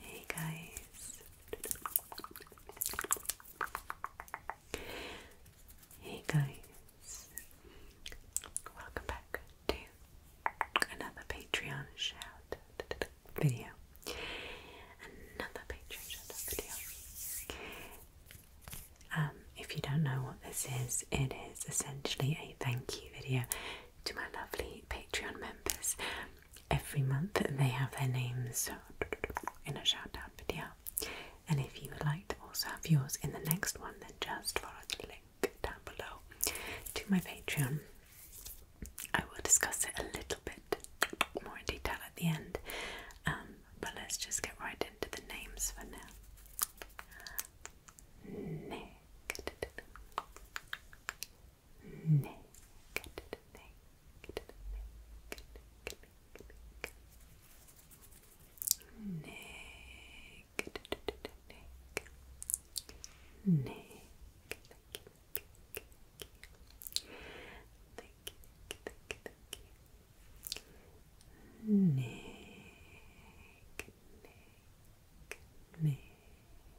Hey guys. Hey guys. Welcome back to another Patreon shout video. Another Patreon shout video. Um, if you don't know what this is, it is essentially a thank you video to my lovely Patreon members every month they have their names in a shoutout video. And if you would like to also have yours in the next one, then just follow the link down below to my Patreon. I will discuss it a little bit more in detail at the end, um, but let's just get right into the names for now naked, naked, naked, naked. Naked, naked, naked. Thank you, thank you, thank you, thank you, thank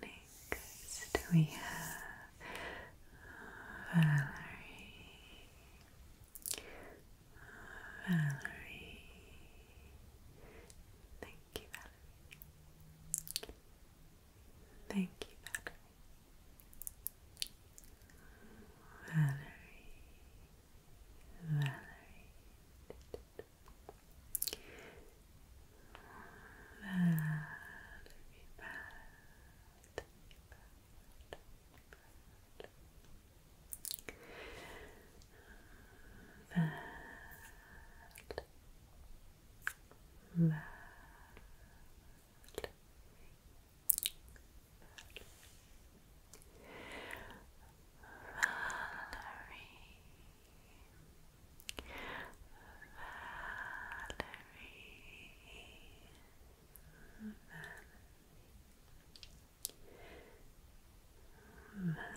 Next we have Valerie, Valerie. Thank you, Valerie. Thank you, Valerie. Valerie. Valerie. Valerie, Lovely. Lovely. Valerie. Valerie. Valerie. Valerie.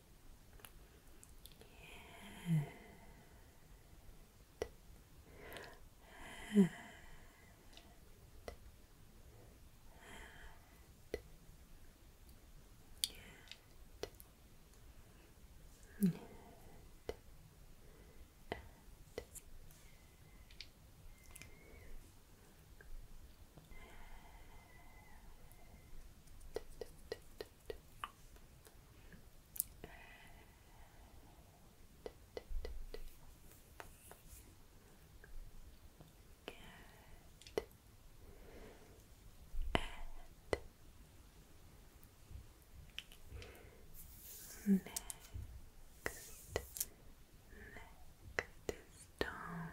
And, and, and. And, and, and and next next is Tom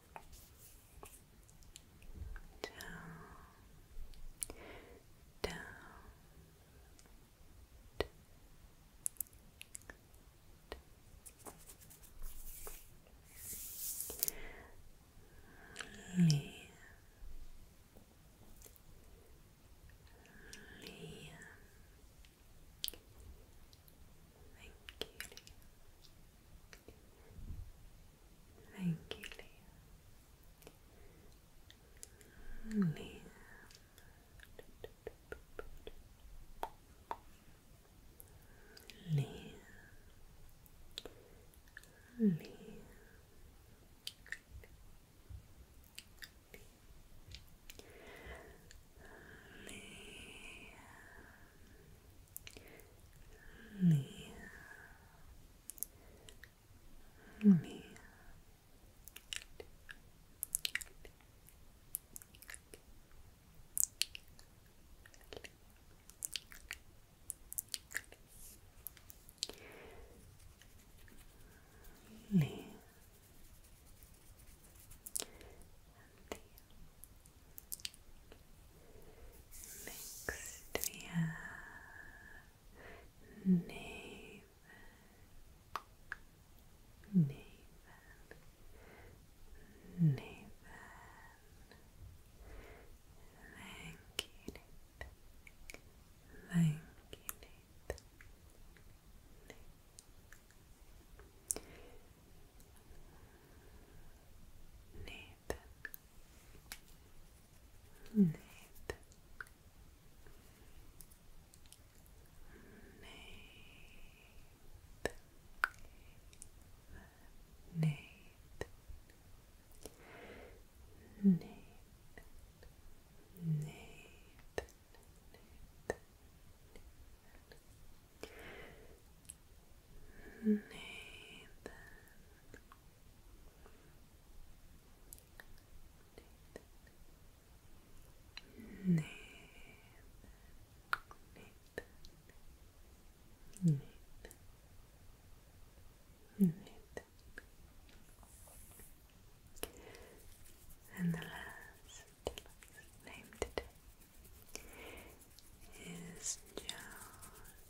down, down, down, down. Thank you. Lean. Thank you, Liam. Liam. Liam. Liam me, me. Lee. Anthea. Next we Nathan. Nathan. Nathan. Thank you, Nathan. Thank you, Nathan. Nathan. Nathan. Nathan. Nathan. Nathan. Nathan. Nathan. Nathan. Nathan. Nathan. Nathan. And the last name today is Joan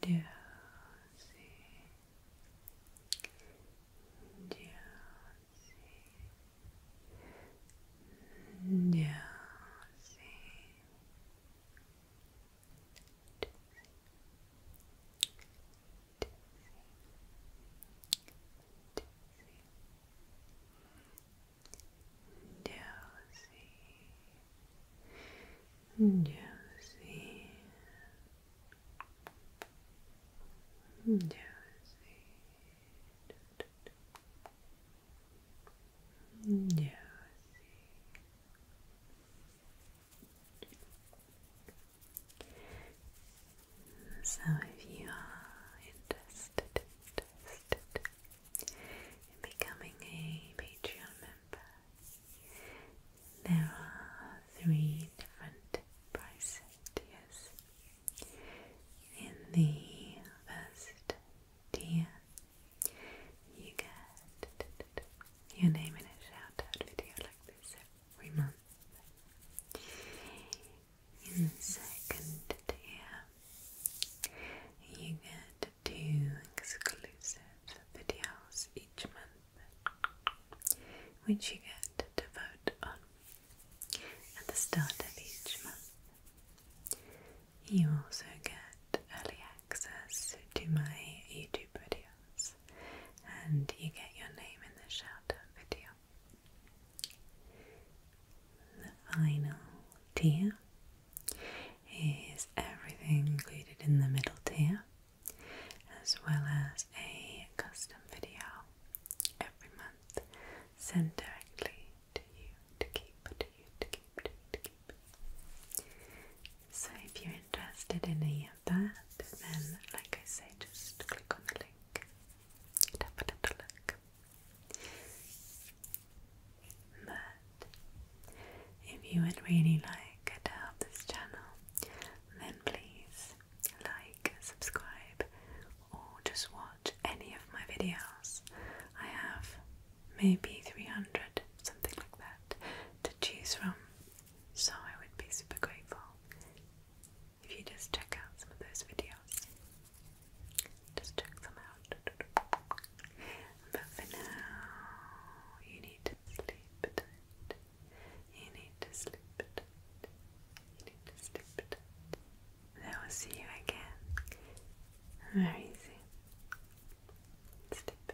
Dozy, dozy, dozy. Dozy, Josie, Josie, Josie. So, if you are interested, in becoming a Patreon member, there are three different price tiers. In the first tier, you get your name in a shout video like this every month. In the second tier, you get two exclusive videos each month, which you get to vote on at the start of each month. You also get early access to my YouTube videos, and you get your name in the shoutout video. The final tier is everything included in the middle tier, as well as a custom video every month sent directly to you to keep, to you to keep, to keep. So if you're interested in any of that, then like I say, just click on the link have a little look. But if you would really like to help this channel, then please like, subscribe, or just watch any of my videos. I have maybe 300, something like that, to choose from, so I would be super grateful if you just check out some of those videos. Just check them out. But for now, you need to sleep You need to sleep You need to sleep I will see you again very soon. Sleep